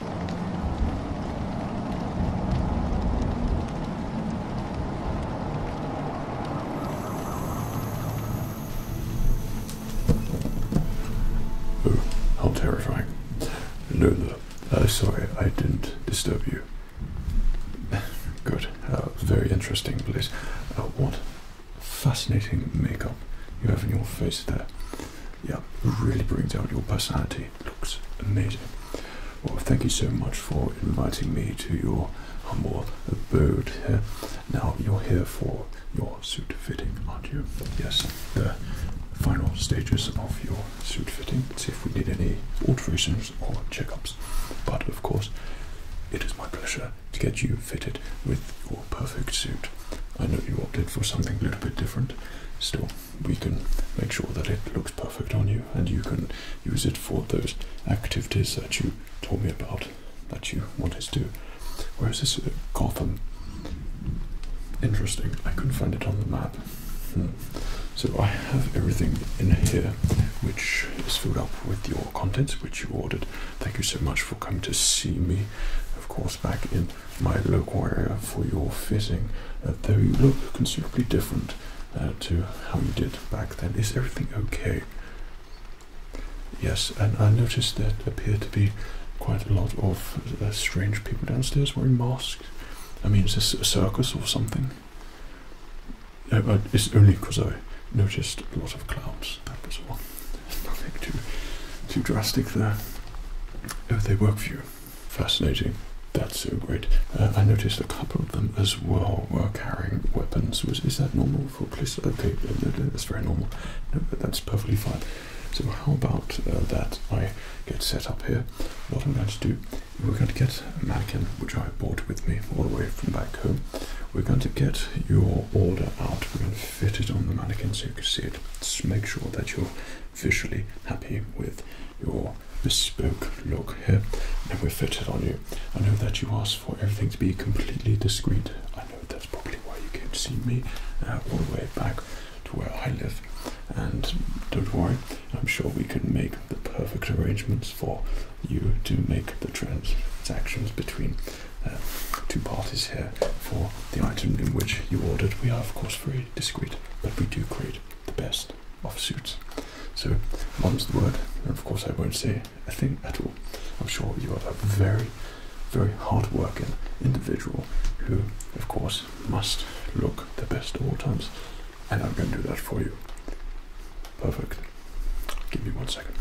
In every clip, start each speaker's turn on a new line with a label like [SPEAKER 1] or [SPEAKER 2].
[SPEAKER 1] Oh, how terrifying. No, no. Uh, sorry, I didn't disturb you. Good. Uh, very interesting place. Uh, what fascinating makeup you have on your face there yeah, really brings out your personality. Looks amazing. Well, thank you so much for inviting me to your humble abode here. Now, you're here for your suit fitting, aren't you? Yes, the final stages of your suit fitting. See if we need any alterations or checkups. But of course, it is my pleasure to get you fitted with your perfect suit. I know you opted for something a little bit different, still, we can make sure that it looks perfect on you and you can use it for those activities that you told me about that you wanted to Where is this uh, Gotham? Interesting, I couldn't find it on the map. Hmm. So I have everything in here which is filled up with your contents which you ordered. Thank you so much for coming to see me, of course, back in my local area for your fitting, uh, though you look considerably different uh, to how you did back then. Is everything okay? Yes, and I noticed there appear to be quite a lot of uh, strange people downstairs wearing masks. I mean, is this a circus or something? Uh, it's only because I noticed a lot of clowns. That was all. Nothing too, too drastic there. Oh, they work for you. Fascinating. That's so great. Uh, I noticed a couple of them as well were carrying weapons. Was is that normal for police? Okay, uh, no, no, that's very normal. No, that's perfectly fine. So how about uh, that? I get set up here. What I'm going to do, we're going to get a mannequin which I brought with me all the way from back home. We're going to get your order out. We're going to fit it on the mannequin so you can see it. make sure that you're visually happy with your bespoke look here and we fitted on you. I know that you asked for everything to be completely discreet. I know that's probably why you came to see me uh, all the way back to where I live. And don't worry, I'm sure we can make the perfect arrangements for you to make the transactions between uh, two parties here for the item in which you ordered. We are, of course, free very discreet, but we do create the best of suits. So, mum's the word, of course, I won't say a thing at all. I'm sure you are a very, very hard working individual who, of course, must look the best at all times, and I'm going to do that for you. Perfect. Give me one second.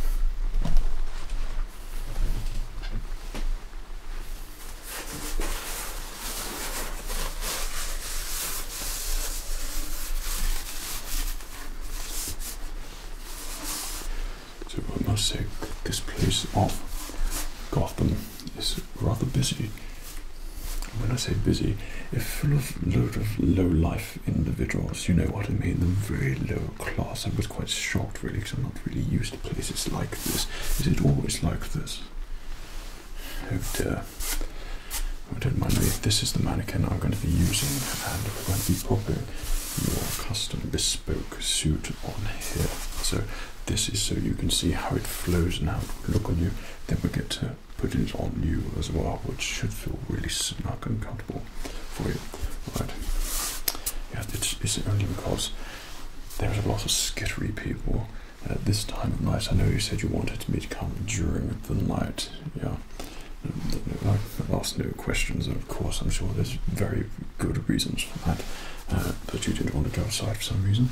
[SPEAKER 1] So I must say, this place of Gotham is rather busy. When I say busy, it's full of load of low-life individuals. You know what I mean? The very low class. I was quite shocked, really, because I'm not really used to places like this. Is it always like this? It, uh, I don't mind me. This is the mannequin I'm going to be using, and we're going to be popping your custom bespoke suit on here. So this is so you can see how it flows and how it would look on you. Then we get to put it on you as well, which should feel really snug and comfortable for you. Right? Yeah, it's, it's only because there's a lot of skittery people at this time of night. I know you said you wanted me to come during the night. Yeah. I've asked no questions, and of course, I'm sure there's very good reasons for that. Uh, but you didn't want to go outside for some reason.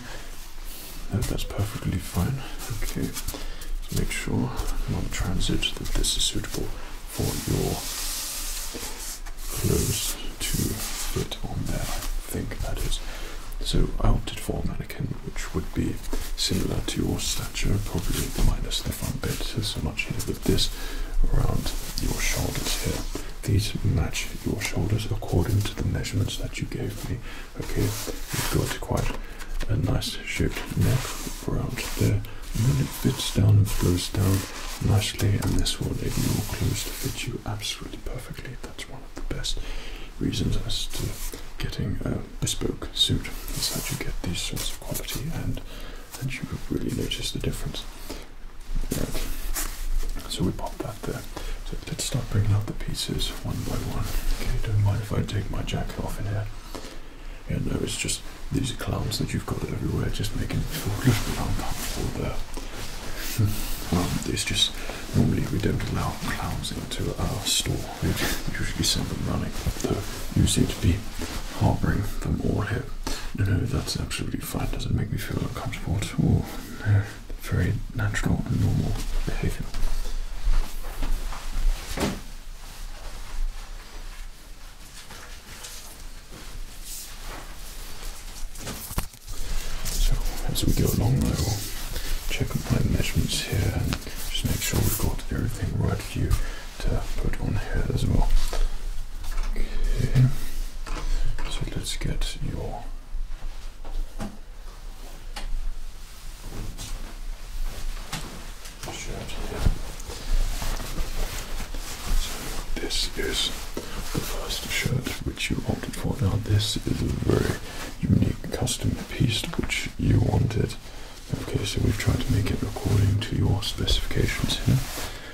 [SPEAKER 1] that's perfectly fine. Okay, so make sure on transit that this is suitable for your clothes to fit on there think that is. So I opted for a mannequin which would be similar to your stature, probably minus the front bit, so much here but this around your shoulders here. These match your shoulders according to the measurements that you gave me. Okay, you've got quite a nice shaped neck around there. And then it fits down and flows down nicely and this will enable your clothes to fit you absolutely perfectly that's one of the best reasons as to getting a bespoke suit is that you get these sorts of quality and and you really notice the difference. So we pop that there. So let's start bringing out the pieces one by one. Okay, don't mind if I take my jacket off in here. Yeah, no, it's just these clouds that you've got everywhere, just making it a little bit uncomfortable there. Hmm. well, there's just normally we don't allow clowns into our store. We usually send them running, though you seem to be harboring them all here. No, no, that's absolutely fine. Doesn't make me feel uncomfortable at all. very natural and normal behavior. So as we go along, I will check my measurements here and just make sure we've got everything right for you to put on here as well. Okay, so let's get your shirt here. So this is the first shirt which you opted for. Now this is a very unique custom piece which you wanted. Okay, so we've tried to make it according to your specifications here.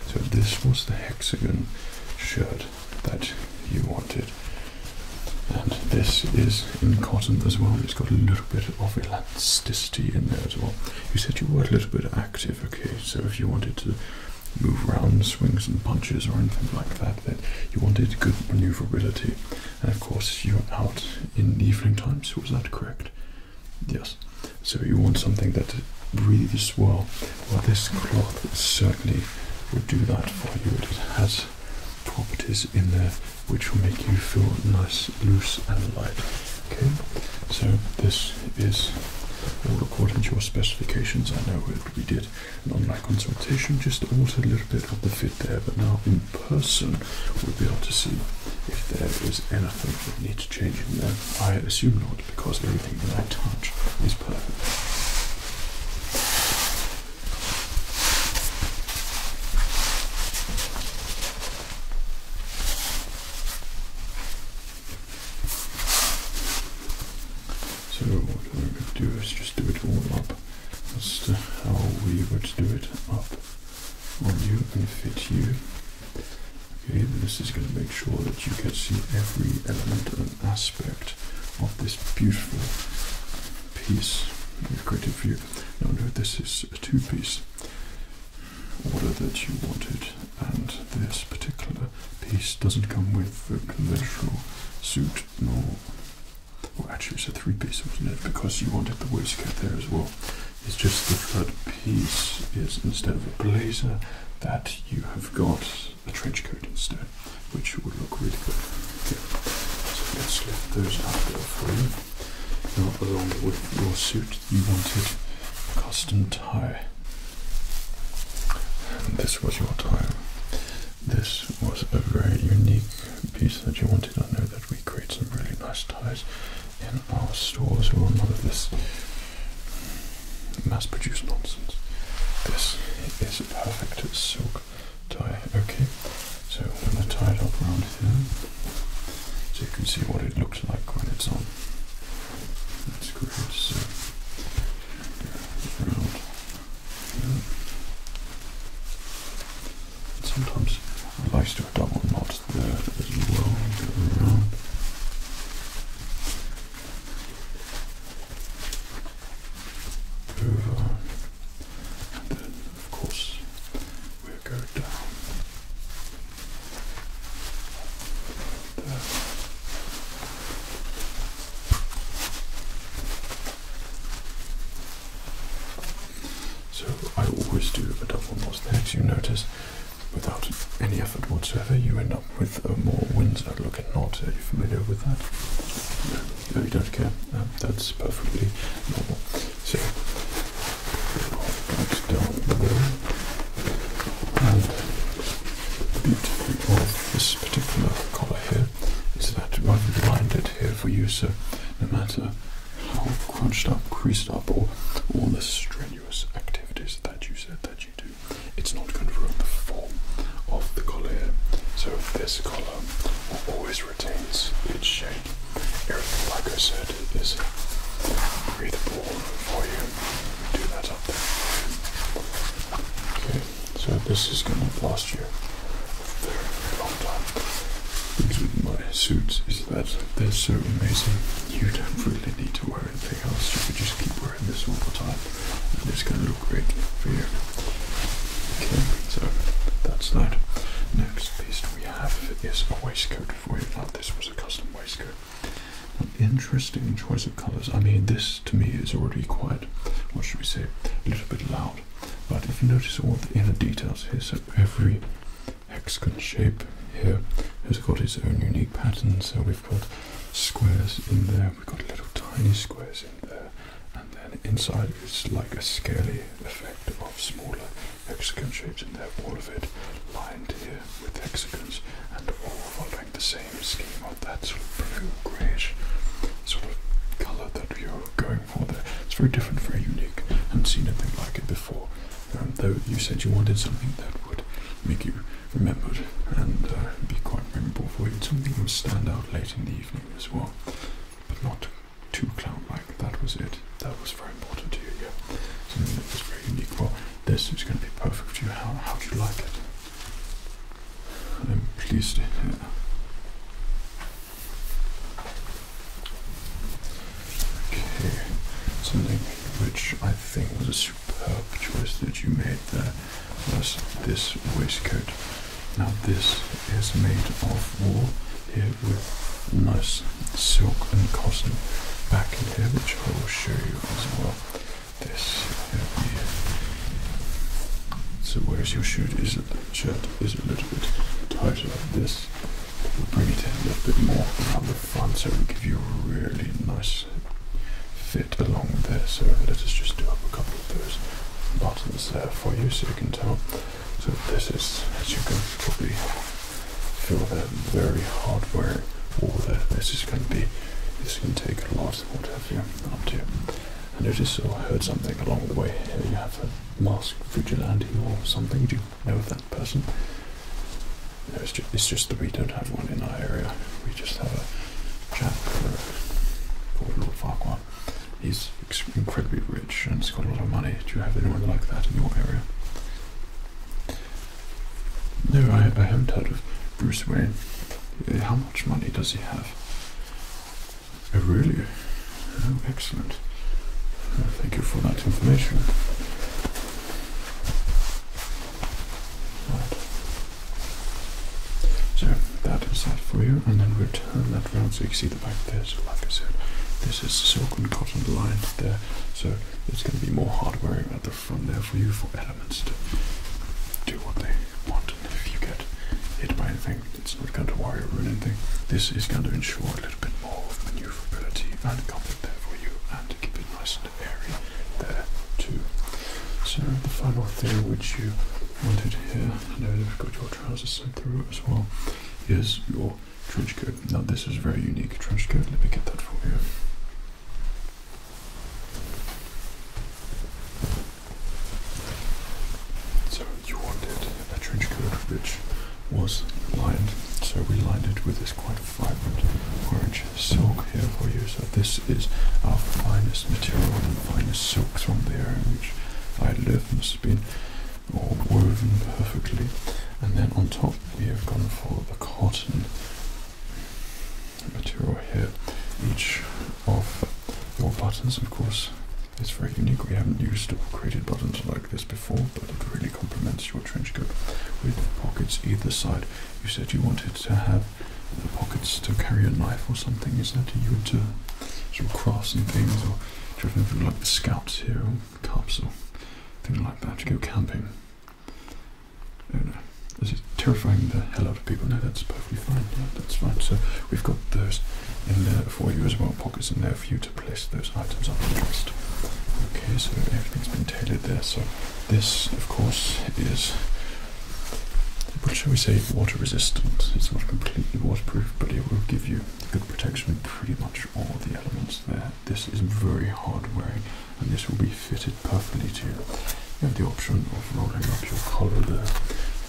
[SPEAKER 1] So this was the hexagon shirt that you wanted. And this is in cotton as well. It's got a little bit of elasticity in there as well. You said you were a little bit active, okay? So if you wanted to move around, swings and punches or anything like that. That you wanted good maneuverability, and of course you're out in the evening times. Was that correct? Yes. So you want something that breathes well. Well, this cloth certainly will do that for you. It has properties in there which will make you feel nice, loose, and light. Okay. So this is all according to your specifications. I know we did on my consultation, just altered a little bit of the fit there, but now in person we'll be able to see if there is anything that needs changing there. I assume not, because everything that I touch is perfect. So what we're going to do is just do it all up as to how we would do it up on you and fit you. Okay, this is going to make sure that you can see every element and aspect of this beautiful piece we've created for no, this is a two-piece order that you wanted and this particular piece. Doesn't come with the conventional suit, nor. Well, actually, it's a three piece, wasn't it? Because you wanted the waistcoat there as well. It's just the third piece is instead of a blazer, that you have got a trench coat instead, which would look really good. Okay. So let's lift those out there for you. along with your suit, you wanted a custom tie. This was your time. This was a very unique piece that you wanted. I know that we create some really nice ties in our stores. We want none of this mass-produced nonsense. This is a perfect silk tie. Okay, so I'm going to tie it up around here so you can see what it looks like when it's on. That's great. So around Sometimes I like to a double knot there as well. then, of course, we go down. There. So I always do a double knot. there, as you notice. Without any effort whatsoever, you end up with a more Windsor looking knot. Are uh, you familiar with that? No, you don't care. that's perfectly normal. So, down the and beauty of this particular collar here is that I've lined it here for you so no matter how crunched up, creased up, or all the strenuous activities that you said that you do, it's not going to ruin the form of the collar So this collar always retains its shape. Everything, like I said, is breathable for you. Do that up there. So this is going to last you a very, long time. with my suits is that they're so amazing. You don't really need to wear anything else. You could just keep wearing this all the time, and it's going to look great for you. Okay, so that's that. Next piece we have is a waistcoat for you. Now this was a custom waistcoat. An interesting choice of colours. I mean, this to me is already quite, what should we say, a little bit loud. But if you notice all the inner details here, so every hexagon shape here has got its own unique pattern. So we've got squares in there, we've got little tiny squares in there, and then inside is like a scaly effect of smaller hexagon shapes in there, all of it lined here with hexagons and all followed the same scheme of that sort of blue grayish sort of color that you're going for there. It's very different, very unique. I haven't seen anything like it before. Um, though you said you wanted something that would make you remembered and uh, be quite memorable for you, something that would stand out late in the evening as well, but not too clown-like. That was it. That was very important to you. Yeah, something that was very unique. Well, this is going to be perfect for you. how do you like it? I'm pleased. Yeah. Okay, something which I think was a superb choice that you made there was this waistcoat. Now this is made of wool here with nice silk and cotton back in here, which I will show you as well. So where's your shirt? Is it shirt is a little bit tighter than this. We'll bring it in a little bit more around the front so we give you a really nice fit along there. So let us just do up a couple of those buttons there for you so you can tell. So this is, as you can probably feel that very hard wearing all there. This is going to be, this can take a lot what have you, up to. I noticed or heard something along the way here. You have a masked vigilante or something. Do you know of that person? No, it's just, that we don't have one in our area. We just have a chap called Lord Farquhar. He's incredibly rich and he's got a lot of money. Do you have anyone like that in your area? No, I haven't heard of Bruce Wayne. Eh, how much money does he have? Eh, really? Oh, excellent. Eh, thank you for that information. So that is that for you, and then we'll turn that round so you can see the back there. So, like I said, this is silk and cotton lined there, so it's going to be more hard wearing at the front. From there for you for elements to do what they want. And if you get hit by anything, it's not going to worry or ruin anything. This is going to ensure a little bit more of maneuverability and comfort there for you and keep it nice and airy there too. So the final thing which you wanted here, I know you've got your trousers sent through as well, is your trench coat. Now this is a very unique trench coat. Let me get that for you. So you wanted a trench coat which was lined, so we lined it with this quite vibrant orange silk here for you. So this is our finest material and finest silks from the area in which I live. Must have been all woven perfectly. And then on top we have gone for the cotton material here. Each of your buttons, of course, is very unique. We haven't used or created buttons like this before, but it really complements your trench coat with pockets either side. You said you wanted to have the pockets to carry a knife or something. Is that you into uh, sort of crafts and things, or do you have anything like the scouts here, or cups, or things like that to go camping? Oh uh, no, this is terrifying the hell out of people. No, that's perfectly fine. Yeah, that's fine. So we've got those in there for you as well, pockets in there for you to place those items on the interest. Okay, so everything's been tailored there. So this, of course, is what shall we say, water resistant. It's not completely waterproof, but it will give you good protection in pretty much all the elements there. This is very hard wearing, and this will be be fitted perfectly to you. You have the option of rolling up your collar there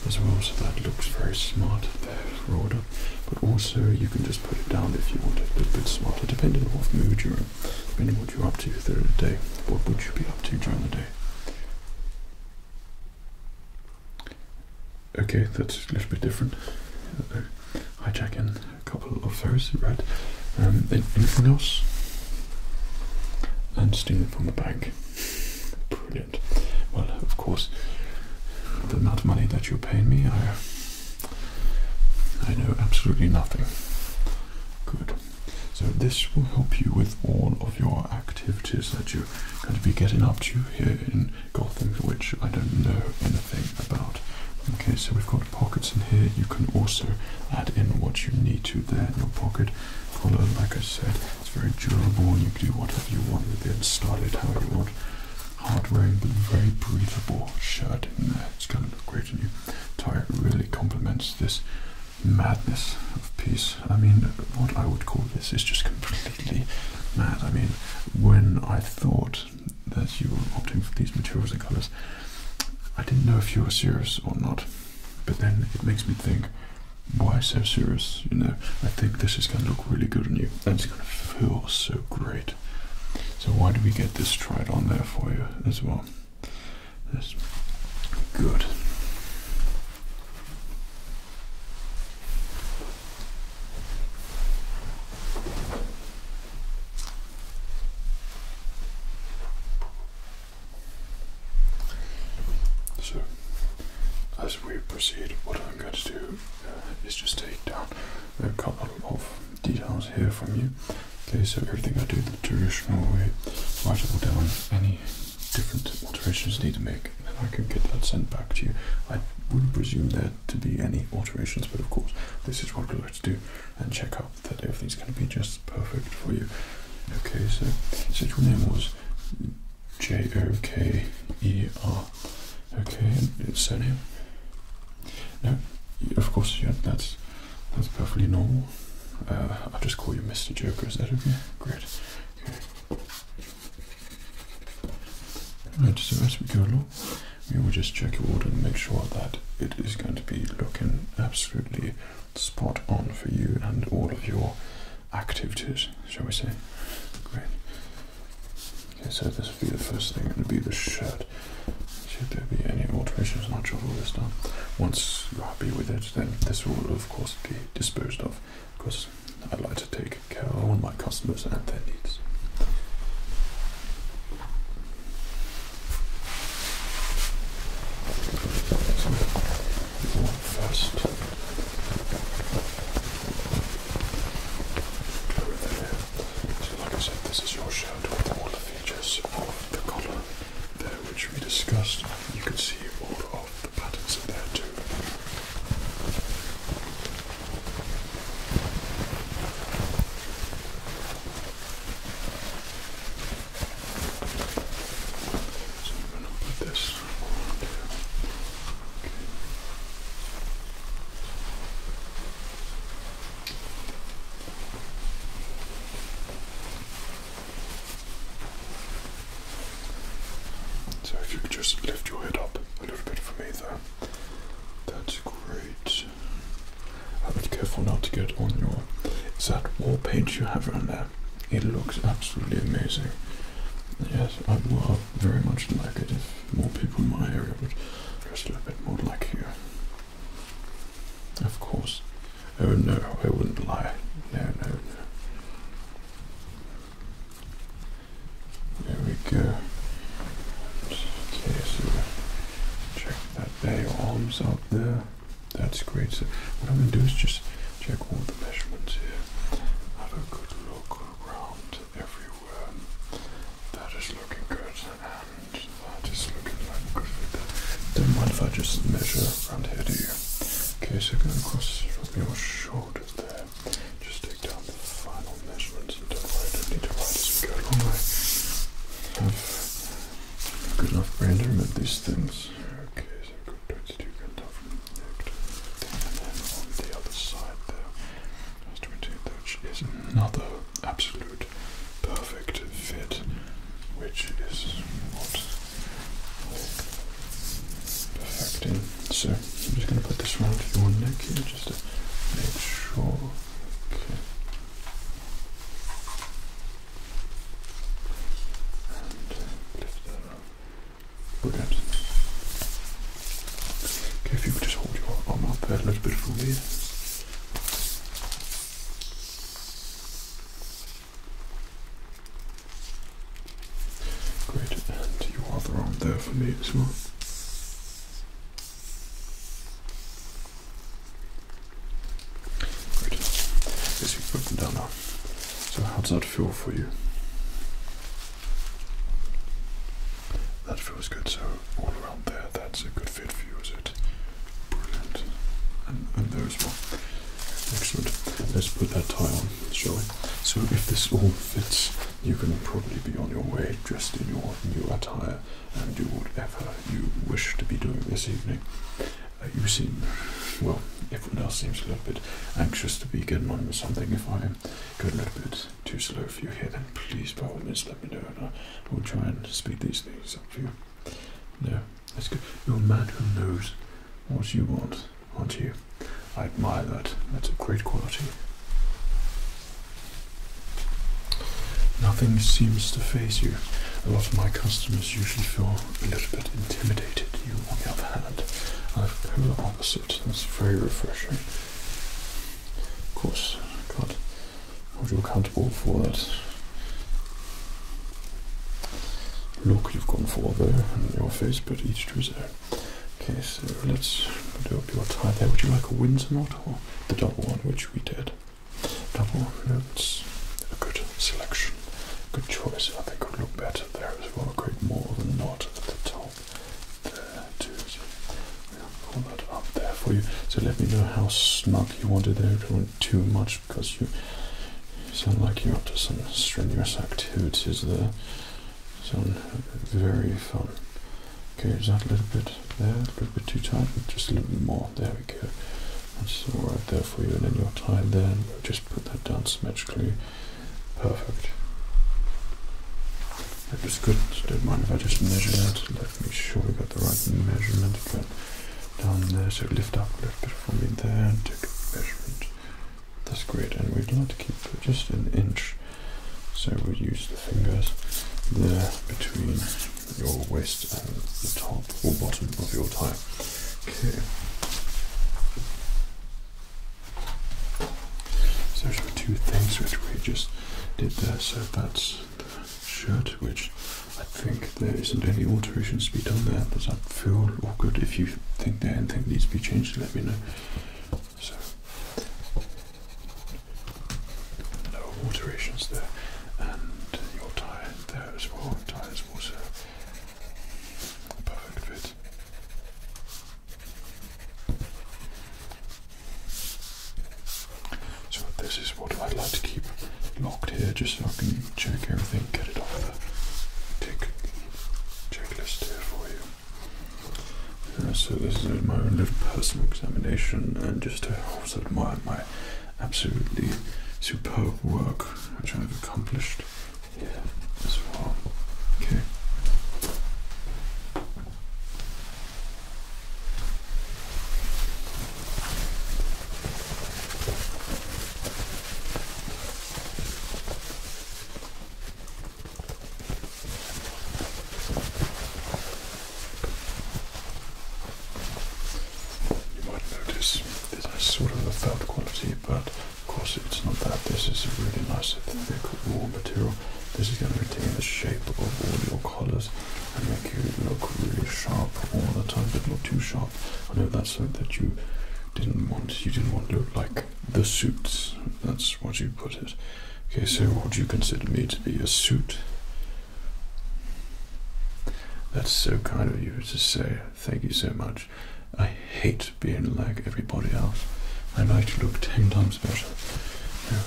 [SPEAKER 1] as well, so that looks very smart there, rolled up. But also you can just put it down if you want it a little bit smarter, depending on what mood you're in, depending on what you're up to through the day. What would you be up to during the day? Okay, that's a little bit different. Jack. In a couple of those, right? Um, anything else? and steal it from the bank. Brilliant. Well, of course, the amount of money that you're paying me, I, I know absolutely nothing. Good. So this will help you with all of your activities that you're going to be getting up to here in Gotham, which I don't know anything about. Okay, so we've got pockets in here. You can also add in what you need to there in your pocket. Colour, like I said, it's very durable and you can do whatever you want with it, style it how you want. Hard wearing but very breathable shirt It's gonna look great on you. Tie really complements this madness of peace. I mean what I would call this is just completely mad. I mean when I thought that you were opting for these materials and colours, I didn't know if you were serious or not. But then it makes me think, why so serious? You know, I think this is going to look really good on you. And it's going to feel so great. So why do we get this tried on there for you as well? That's good. So, as we proceed, what I'm going to do uh, is just take down a couple of details here from you. Okay, so everything I do the traditional way, write it all down, any different alterations need to make, and I can get that sent back to you. I wouldn't presume there to be any alterations, but of course, this is what we like to do and check out that everything's going to be just perfect for you. Okay, so so your name was J O K E R. Okay, and it's surname. No, of course, yeah, that's that's perfectly normal. Uh, I'll just call you Mr. Joker. Is that okay? Great. Okay. Right, so as we go along, we will just check it all and make sure that it is going to be looking absolutely spot on for you and all of your activities, shall we say? Great. Okay, so this will be the first thing, and it'll be the shirt. Should there be any alterations, not sure all this done. Once you're happy with it, then this will of course be disposed of. Because I like to take care of all my customers and their needs first So like I said, this is your shirt with all the features of the collar there which we discussed. You can see all of the patterns in there too. So if you could just lift your head up a little bit for me there. That's great. I'll be careful not to get on your. that wall paint you have around there? It looks absolutely amazing. Yes, I would very much like it if more people in my area would just a little bit more like you. Of course. Oh no, I wouldn't lie. No, no, no. There we go. Okay, so check that bay your arms out there. That's great. So what I'm going to do is just check all the measurements here. Have a good look around everywhere. That is looking good, and that is looking like a good fit. Don't mind if I just measure around here, do you? Okay, so going across from your shoulders there. Just take down the final measurements and don't worry, don't need to worry. Just we go along. I have a good enough brain to these things. Okay, so 22 going and then on the other side there, 22, which is another absolute perfect fit, which is what perfecting. So I'm just going to put this round your neck here just to make sure. Okay. Uh, okay, if you could just hold your arm up a little bit for me. Great, and your other there for me as well. Great. Yes, we put them down now. So how does that feel for you? That feels good. So all around there, that's a good fit for you, is it? Brilliant. And, and there as Excellent. Let's put that tie on, shall we? So if this all fits, you can probably be on your way dressed in your new attire and do whatever you wish to be doing this evening. Uh, you seem, well, everyone else seems a little bit anxious to be getting on with something. If I am getting a little bit too slow for you here, then please, by all let me know and I will try and speed these things up for you. No, that's good. You're a man who knows what you want, aren't you? I admire that. That's a great quality. Nothing seems to phase you. A lot of my customers usually feel a little bit intimidated, you on the other hand I've come are the polar opposite. It's very refreshing. Of course, God, can't you accountable for that look you've gone for there in your face, but each to his own. Okay, so let's put up your tie there. Would you like a Windsor knot or the double one, which we did? double notes. A good selection, good choice. I think it would look better there as well. Create more than not at the top there too. So we'll pull that up there for you. So let me know how snug you want it there. Don't want too much because you sound like you're up to some strenuous activities there. Sound very fun. Okay, is that a little bit there? A little bit too tight? Just a little bit more. There we go. That's all right there for you, and then you're tied there. And we'll just put that down symmetrically. Perfect. That was good. don't mind if I just measure that. Let me make sure we got the right measurement. But down there, so lift up a little bit for me there. And take a measurement. That's great. And we'd like to keep just an inch. So we'll use the fingers there between your waist and the top or bottom of your tie. Okay. So those were two things which we just did there. So that's the shirt, which I think there isn't any alterations to be done there. Does that feel all good? If you think there anything needs to be changed, let me know. So no alterations there, and your tie there as well. Tie is also Perfect fit. So this is what I like to keep locked here, just so I can check everything, get it off the tick checklist here for you. Uh, so this is my own little personal examination, and just to offset my my absolutely superb work which I've accomplished here as well. Okay. You might notice there's a sort of a felt quality, but of course it's not that. This is a really nice thick wool material. This is going to retain the shape of all your collars and make you look really sharp all the time, but not too sharp. I know that's something that you didn't want. You didn't want to look like the suits. That's what you put it. Okay, so what do you consider me to be a suit? That's so kind of you to say. Thank you so much. I hate being like everybody else. I like to look ten times better.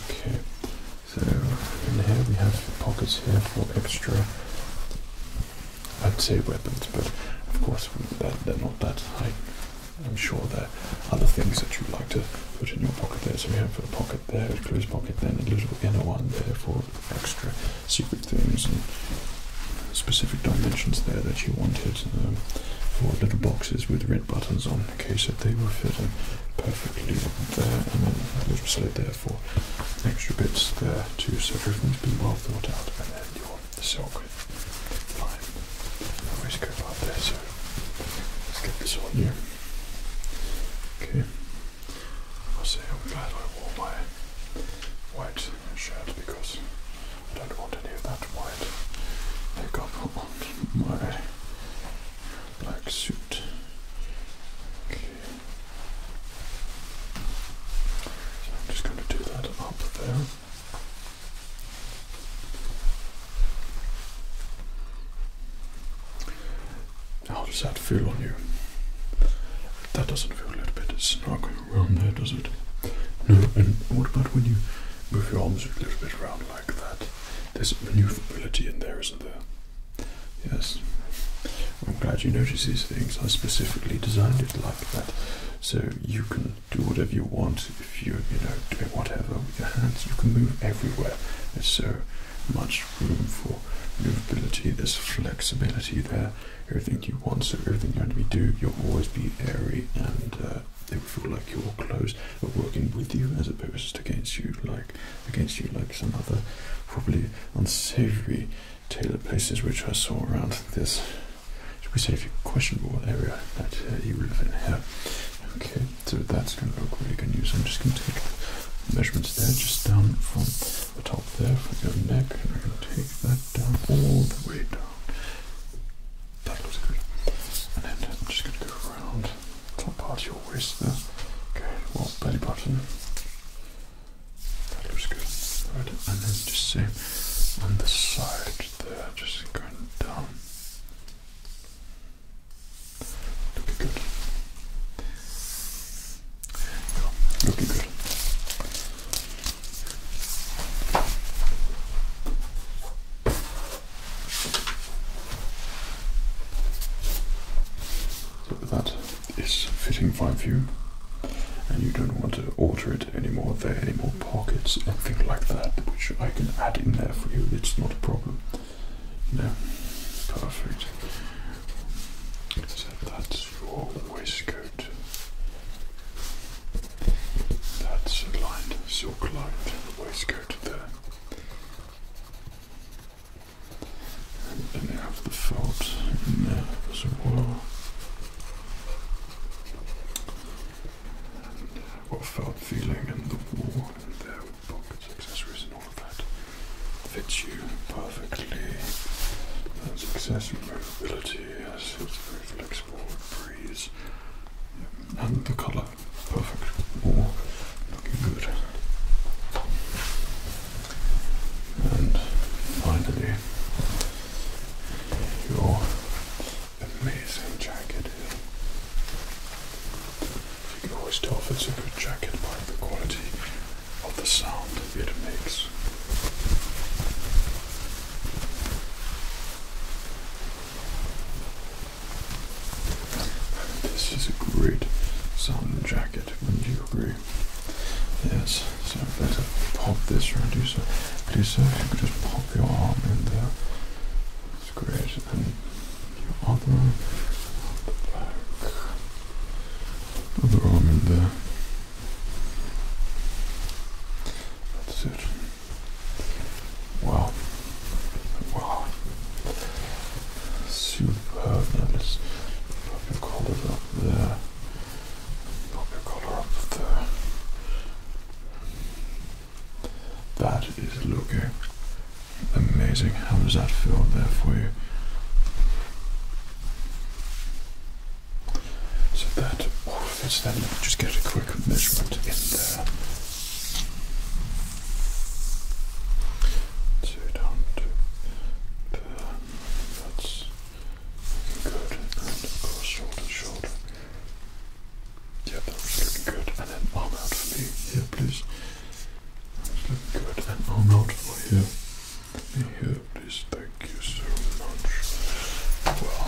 [SPEAKER 1] Okay, so in here we have pockets here for extra. I'd say weapons, but of course they're not that high. I'm sure there are other things that you'd like to put in your pocket there. So we have a pocket there, a closed pocket, then a little inner one there for extra secret things and specific dimensions there that you wanted um, for little boxes with red buttons on. the case that they were fitting perfectly there, and then those were slid there for extra bits there too. So everything's been well thought out, and then your silk line. Always go up there. So let's get this on you. Okay. I say i glad I wore my white shirt because I don't want any of that white makeup on my black suit. So I'm just going to do that up there. How does that feel on you? That doesn't feel a little bit snug around there, does it? No, and what about when you move your arms a little bit around like that? There's maneuverability in there, isn't there? Yes. I'm glad you notice these things. I specifically designed it like that. So you can do whatever you want if you're, you know, doing whatever with your hands. You can move everywhere. There's so much room for maneuverability, there's flexibility there everything you want. So everything you're going to be doing, you'll always be airy and uh, they will feel like your clothes are working with you as opposed to against you, like against you, like some other probably unsavory tailor places which I saw around this. Should we say if you questionable area that uh, you live in here? Okay, so that's going to look really good I'm just going to take measurements there, just down from the top there for your neck and we're going to take that down all the way down. That looks good. And then I'm just going to go around the top part of your waist there. Okay, what belly button. That looks good. Right, and then just same on the side there, just going down. Looking good. So that is fitting fine for you, and you don't want to alter it anymore. There are any more pockets, anything like that, which I can add in there for you. It's not a problem. No, perfect. So that's your waistcoat. That's a lined, silk the waistcoat there. And then you have the felt in there as well. And i felt feeling in the wall and there with pockets, accessories and all of that fits you perfectly. And success and mobility yes, it's very flexible, it breeze. And the colour, perfect. More looking good. And finally, your amazing jacket here. You can always tell if it's a good jacket by the quality of the sound it makes. This is a great sound jacket, wouldn't you agree? Yes, so let's pop this around do So do so. you could just pop your arm in there. It's great. And your other arm other arm in there. That's it. Wow. Wow. Superb. Now let's pop your collar up there. Pop your collar up there. That is looking amazing. How does that feel there for you? So that, oh, that's that. just get a quick measurement in there. So down to there. That's good. And of course, shoulder to shoulder. Yep, that's looking good. And then arm out for me here, please. That's looking good. And arm out for you. Let me help this, thank you so much. Well,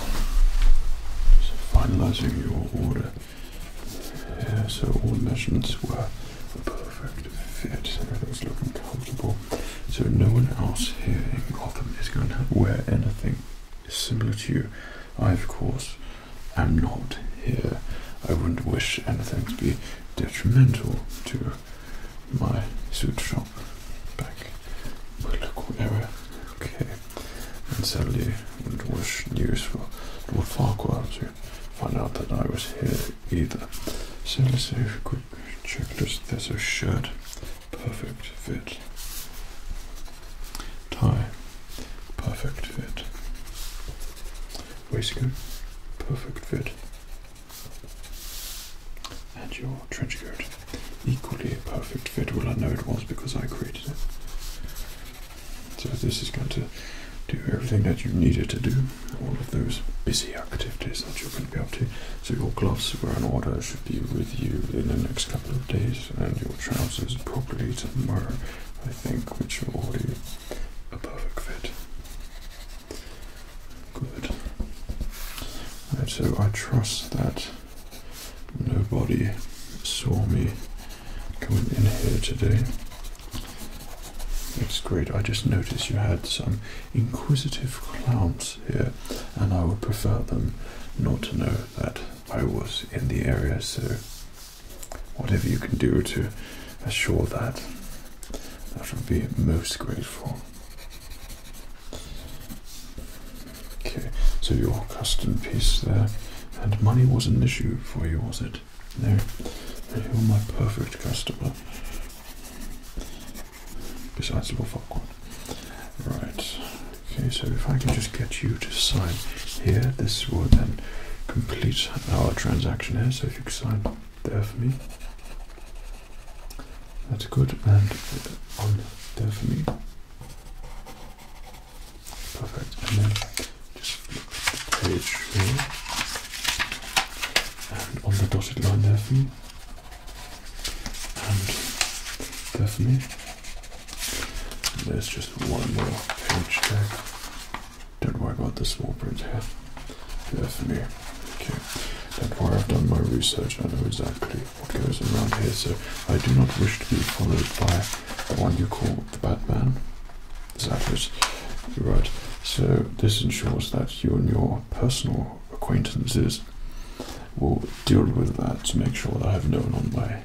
[SPEAKER 1] so finalizing your order. so all measurements were a perfect fit. Everything's looking comfortable. So no one else here in Gotham is going to wear anything similar to you. I, of course, am not here. I wouldn't wish anything to be detrimental to my suit shop back local area. Okay, and sadly, it was news for Lord Farquhar to find out that I was here either. So let's do a quick checklist. There's a shirt, perfect fit. Tie, perfect fit. Waistcoat, perfect fit. And your trench coat. Equally a perfect fit. Well, I know it was because I created it. So this is going to do everything that you needed to do. All of those busy activities that you're going to be up to. So your gloves were in order, should be with you in the next couple of days. And your trousers probably tomorrow, I think, which are already a perfect fit. Good. so I trust that nobody saw me coming in here today. That's great. I just noticed you had some inquisitive clowns here, and I would prefer them not to know that I was in the area, so whatever you can do to assure that, that would be most grateful. Okay, so your custom piece there, and money was an issue for you, was it? No, you're my perfect customer. Besides the fuckwad. Right, okay, so if I can just get you to sign here, this will then complete our transaction here. So if you sign Definitely, That's good, and on there Perfect, and then just the page here. And on the dotted line there for me. And there there's just one more page there. Don't worry about the small print here. Yes, me. Okay. Don't I've done my research. I know exactly what goes around here, so I do not wish to be followed by the one you call the Batman. Is that it? You're right. So this ensures that you and your personal acquaintances will deal with that to make sure that I have no one on my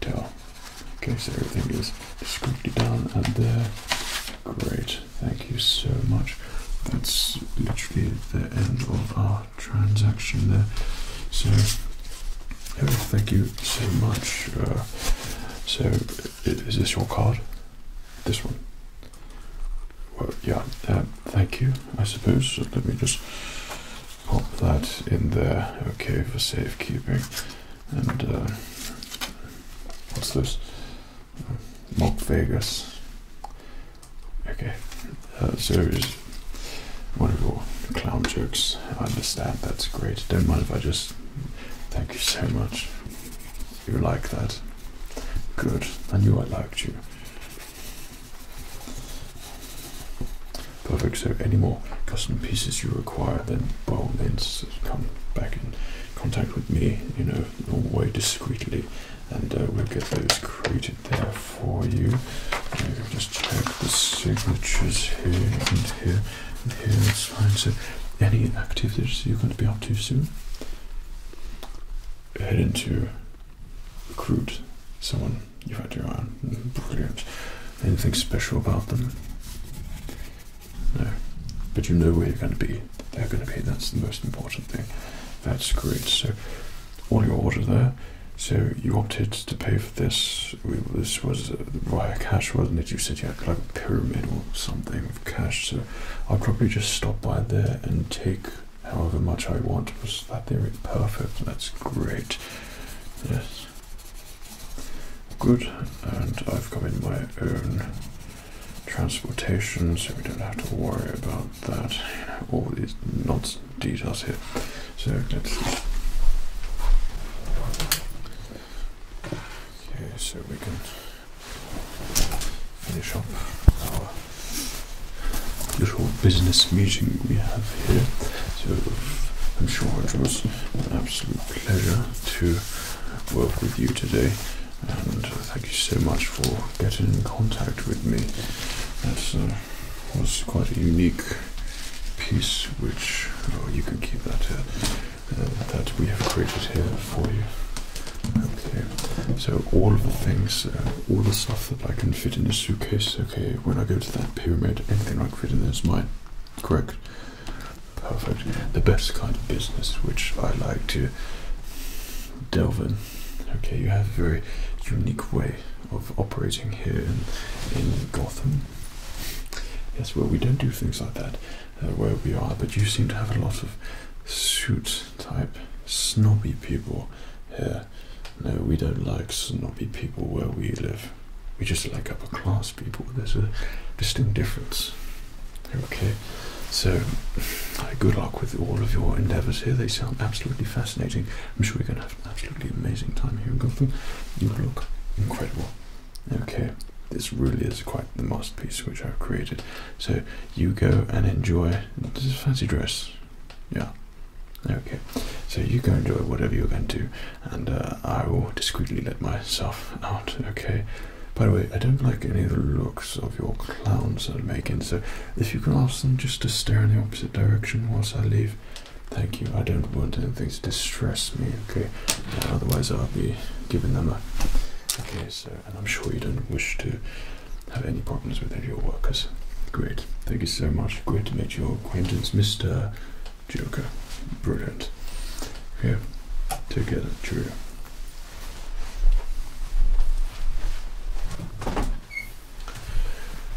[SPEAKER 1] tail. In case everything is discreetly down at the Great, thank you so much. That's literally the end of our transaction there. So, oh, thank you so much. Uh, so, is this your card? This one? yeah, um, thank you, I suppose. let me just pop that in there, okay, for safekeeping. And, uh, what's this? Mark Vegas. Okay, uh, so is one of your clown jokes. I understand, that's great. Don't mind if I just thank you so much. You like that? Good, I knew I liked you. Perfect, so any more custom pieces you require, then by all means come back in contact with me, you know, them away discreetly and uh, we'll get those created there for you. just check the signatures here and here and here. It's fine. So, any activities you're going to be up to soon? Head into recruit someone you've had your eye on. Mm-hmm, brilliant. Anything special about them? No. But you know where you're going to be. They're going to be. That's the most important. That's great. So all your order there. So you opted to pay for this. this was uh, via cash, wasn't it? You said you had like a pyramid or something of cash. So I'll probably just stop by there and take however much I want. Was that theory perfect? That's great. Yes. Good. And I've come in my own transportation, so we don't have to worry about that. all these nuts details here. So let's Okay, so we can finish up our usual business meeting we have here. So I'm sure it was an absolute pleasure to work with you today and thank you so much for getting in contact with me. That uh, was quite a unique piece, which oh, you can keep that uh, uh, that we have created here for you. Okay, so all of the things, uh, all the stuff that I can fit in a suitcase. Okay, when I go to that pyramid, anything I can fit in there is mine. Correct. Perfect. The best kind of business, which I like to Delvin. Okay, you have a very unique way of operating here in, Gotham. Yes, well, we don't do things like that uh, where we are, but you seem to have a lot of suit type snobby people here. No, we don't like snobby people where we live. We just like upper class people. There's a distinct difference. Okay, so good luck with all of your endeavors here. They sound absolutely fascinating. I'm sure you're going to have an absolutely amazing time here in Gotham. You look incredible. Okay, this really is quite the masterpiece which I've created. So you go and enjoy. This is fancy dress. Yeah. Okay, so you go enjoy whatever you're going to, do, and uh, I will discreetly let myself out. Okay, by the way, I don't like any of the looks of your clowns that i making, so if you can ask them just to stare in the opposite direction whilst I leave, thank you. I don't want anything to distress me, okay? Uh, otherwise, I'll be giving them a. Okay, so, and I'm sure you don't wish to have any problems with any of your workers. Great. Thank you so much. Great to meet your acquaintance, Mr. Joker. Brilliant. Yeah. Take care. Cheerio.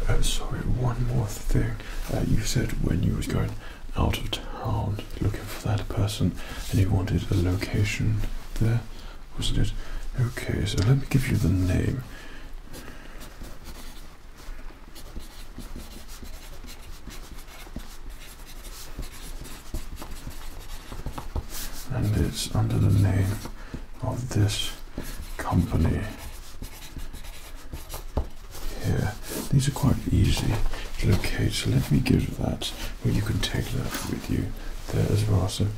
[SPEAKER 1] Uh, sorry, one more thing. Uh, you said when you was going out of town looking for that person and you wanted a location there, wasn't it? Okay, so let me give you the name and it's under the name of this company here. These are quite easy to locate, so let me give that, or you can take that with you there as well. So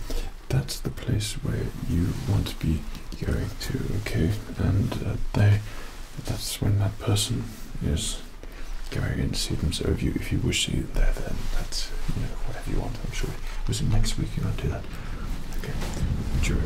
[SPEAKER 1] that's the place where you want to be going to, okay? And uh, they, that's when that person is going and see them. So you if you wish to see there, then that's you know whatever you want. I'm sure. Was it next week you want to do that? Okay. Enjoy.